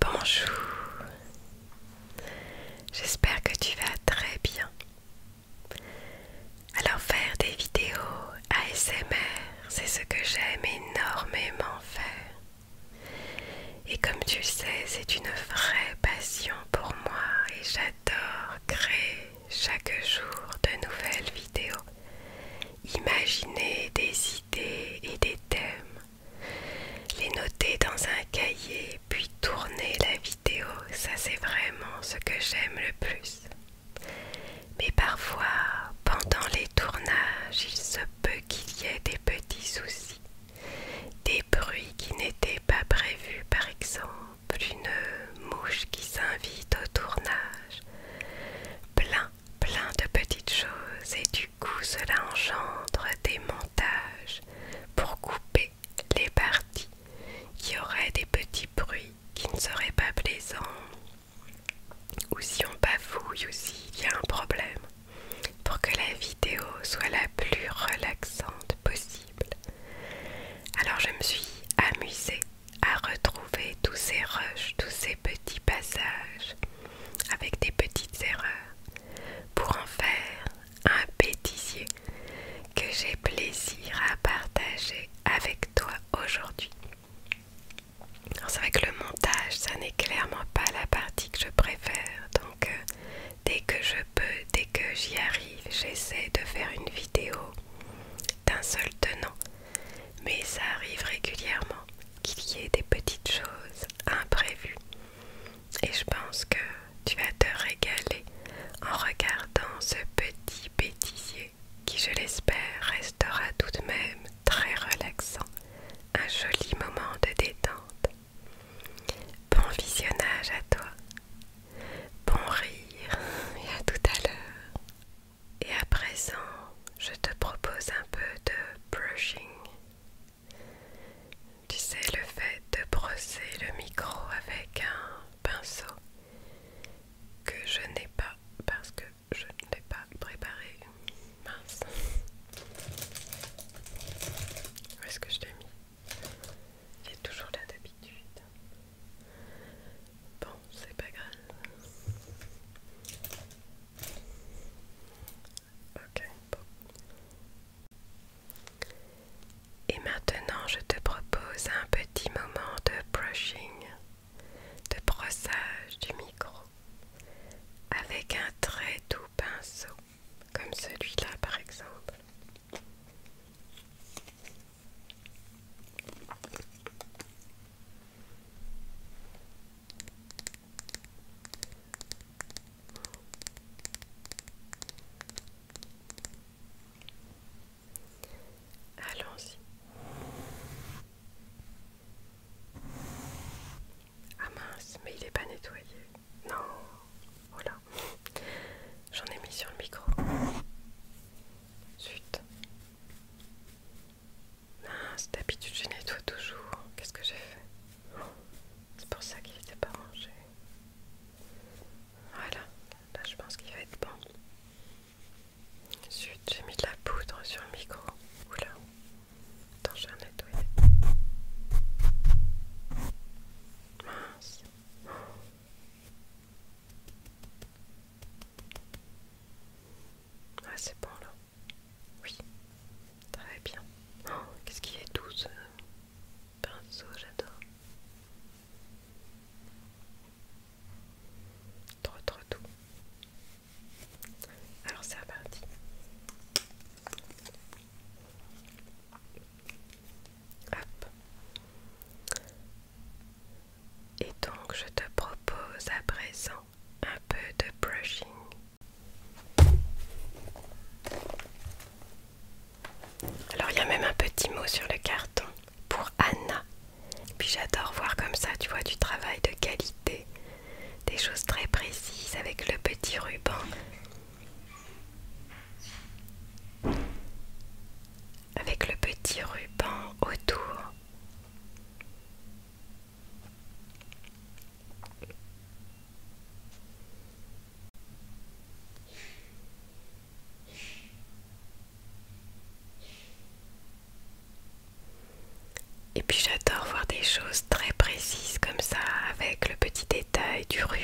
Bonjour, j'espère que tu vas très bien. Alors faire des vidéos ASMR, c'est ce que j'aime énormément faire. Et comme tu sais, c'est une vraie passion pour moi et j'adore créer chaque jour de nouvelles vidéos, imaginer des idées et des thèmes les noter dans un cahier, puis tourner la vidéo, ça c'est vraiment ce que j'aime le plus. Mais parfois, pendant les tournages, il se peut qu'il y ait des petits soucis, des bruits qui n'étaient pas prévus, par exemple une mouche qui s'invite au tournage, plein plein de petites choses et du coup cela engendre des montages pour couper les parties qui auraient des petits bruits qui ne seraient pas plaisants ou si on bafouille ou il y a un problème pour que la vidéo soit la plus relaxante possible. Alors je me suis amusée à retrouver tous ces rushs, tous ces petits passages avec des petites erreurs pour en faire un bêtisier que j'ai plaisir à partager avec toi aujourd'hui. C'est vrai que le montage, ça n'est clairement pas la partie que je préfère, donc euh, dès que je peux, dès que j'y arrive, j'essaie de faire une vidéo d'un seul tenant, mais ça arrive régulièrement qu'il y ait des petites choses imprévues. Et je pense que tu vas te régaler en regardant ce petit bêtisier qui, je l'espère, restera tout de même très relaxant, un joli moment de détente. Bon visionnage à toi, bon rire et à tout à l'heure. Et à présent, je te propose un peu de brushing. Tu sais, le fait de brosser le micro avec un pinceau que je n'ai pas parce que je ne l'ai pas préparé. Mince. Où est-ce que je l'ai mis Il est toujours là d'habitude. Bon, c'est pas grave. Et maintenant, je te propose un petit moment de brushing, de brossage du micro, avec un très doux pinceau, comme celui-là par exemple. Allons-y. Ah mince, mais il n'est pas nettoyé. Non, voilà. J'en ai mis sur le micro. Suite. Mince, ah, d'habitude je nettoie toujours. Qu'est-ce que j'ai fait C'est pour ça qu'il était pas rangé. Voilà, là je pense qu'il va être bon. Zut, j'ai mis de la poudre sur le micro. Oula, attends, je vais nettoyer. Mince. Ah, c'est bon là. Oui, très bien. Oh, Qu'est-ce qui est doux ce pinceau, j'adore. Trop trop doux. Alors c'est reparti. Hop. Et donc je te propose à présent un peu de brushing. Alors il y a même un petit mot sur le carton pour Anna. Puis j'adore voir comme ça, tu vois, du travail de qualité, des choses très précises avec le petit ruban. Avec le petit ruban autour. Et puis j'adore voir des choses très précises comme ça, avec le petit détail du ruban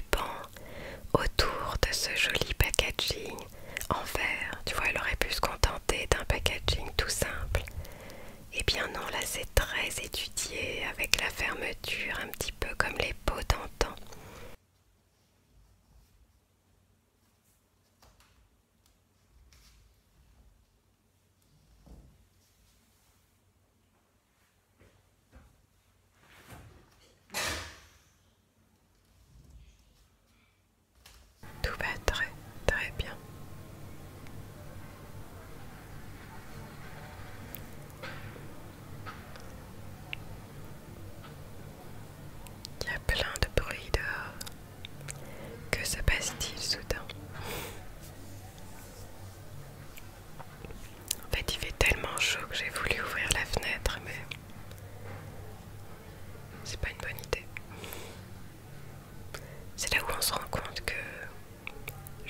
autour de ce joli packaging en verre. Tu vois, elle aurait pu se contenter d'un packaging tout simple et Eh bien non, là c'est très étudié avec la fermeture, un petit peu comme les pots d'antan. Tout va très très bien. Il y a plein de bruit dehors. Que se passe-t-il soudain En fait, il fait tellement chaud que j'ai voulu ouvrir la fenêtre, mais c'est pas une bonne idée. C'est là où on se rend compte que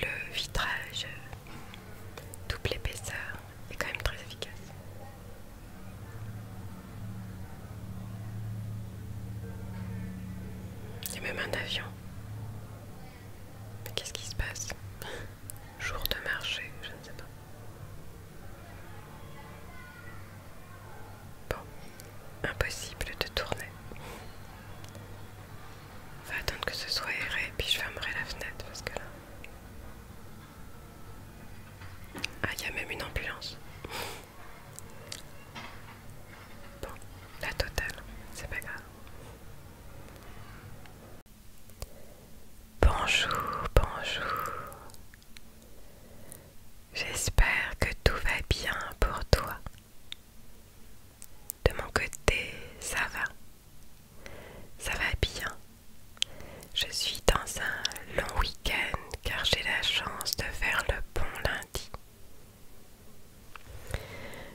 le vitrage double épaisseur est quand même très efficace. Il même un avion. Mais qu'est-ce qui se passe Jour de marché, je ne sais pas. Bon, impossible de tourner. On va attendre que ce soit aéré, puis je fermerai la fenêtre parce que là. Ah, il y a même une ambulance. Bon, la totale, c'est pas grave. Bonjour, bonjour. J'espère que tout va bien pour toi. De mon côté, ça va. Ça va bien. Je suis dans un long week-end car j'ai la chance de faire le bon lundi.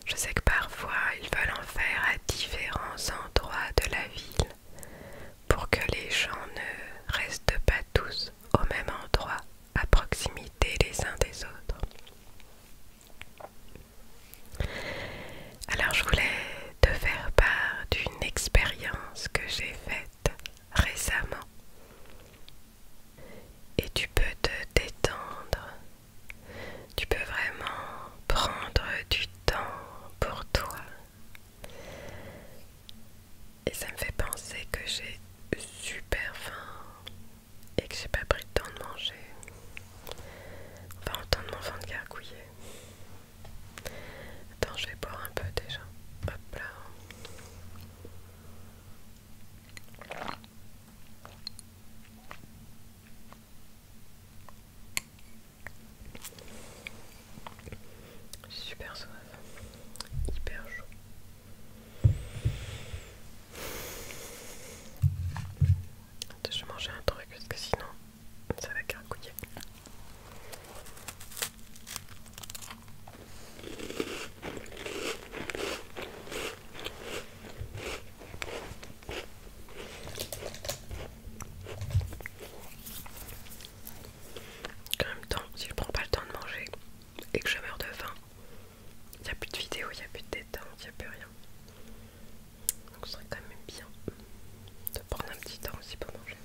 Je sais que parfois ils veulent en faire à différents endroits de la ville pour que les gens ne restent pas tous au même endroit, à proximité les uns des autres. Alors je voulais te faire part d'une expérience que j'ai faite récemment. Et tu peux te détendre. Tu peux vraiment prendre du temps pour toi. Et ça me fait penser que j'ai super faim et que j'ai pas pris le temps de manger. On va de mon de gargouiller. Attends, je vais boire un peu déjà. Hop là super soif, hyper chaud. Attends, je mange un truc parce que sinon ça va carcouiller. En même temps, si je prends pas le temps de manger et que je meurs de faim, il n'y a plus de vidéo, il n'y a plus de détente, il n'y a plus rien. Donc ce serait quand même bien de prendre un petit temps aussi pour manger.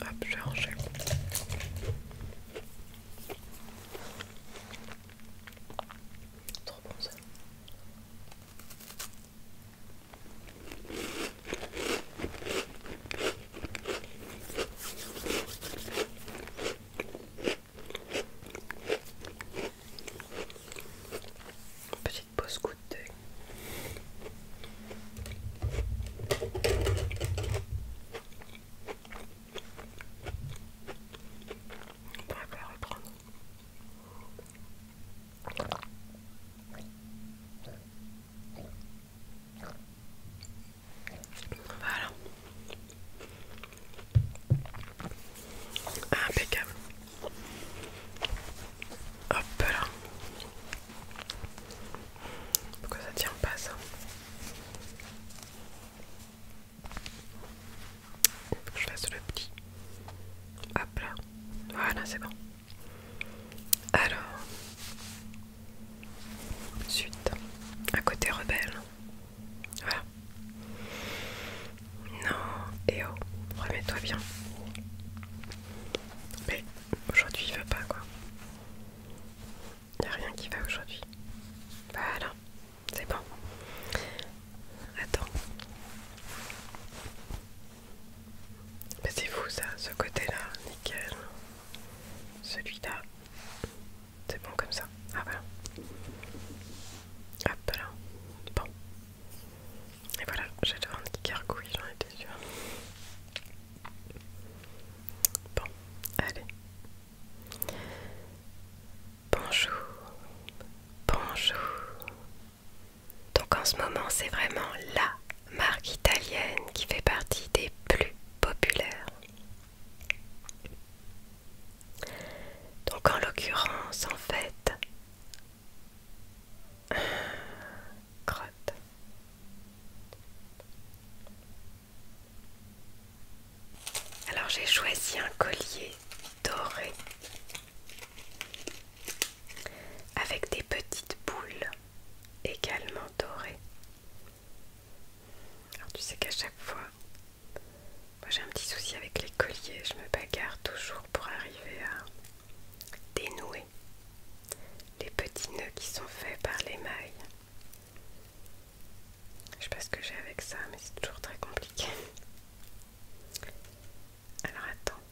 Hop, je vais ranger. Trop bon ça pas pause coup de On va pas reprendre. Voilà. Impeccable. Hop là. Pourquoi ça tient pas ça que je fasse le petit. Hop là. Voilà, c'est bon. Alors. suite. À côté rebelle. Voilà. Non, eh oh, remets-toi bien. Mais aujourd'hui il va pas quoi. a rien qui va aujourd'hui. Voilà, c'est bon. Attends. Mais c'est fou ça, ce côté-là, nickel. Celui-là, c'est bon comme ça. Ah voilà. Hop là. Bon, et voilà, j'ai un qui gargouille, j'en étais sûre. Bon, allez. Bonjour, bonjour. Donc en ce moment, c'est vraiment la marque italienne qui fait partie des plus populaires. Donc en l'occurrence, en fait, alors j'ai choisi un collier doré avec des petites boules également dorées. Alors tu sais qu'à chaque fois, moi j'ai un petit souci avec les colliers, je me bagarre toujours pour arriver à Dénouer les petits nœuds qui sont faits par les mailles. Je sais pas ce que j'ai avec ça, mais c'est toujours très compliqué. Alors attends.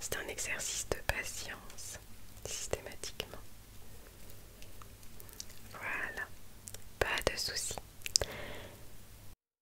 C'est un exercice de patience, systématiquement. Voilà, pas de soucis.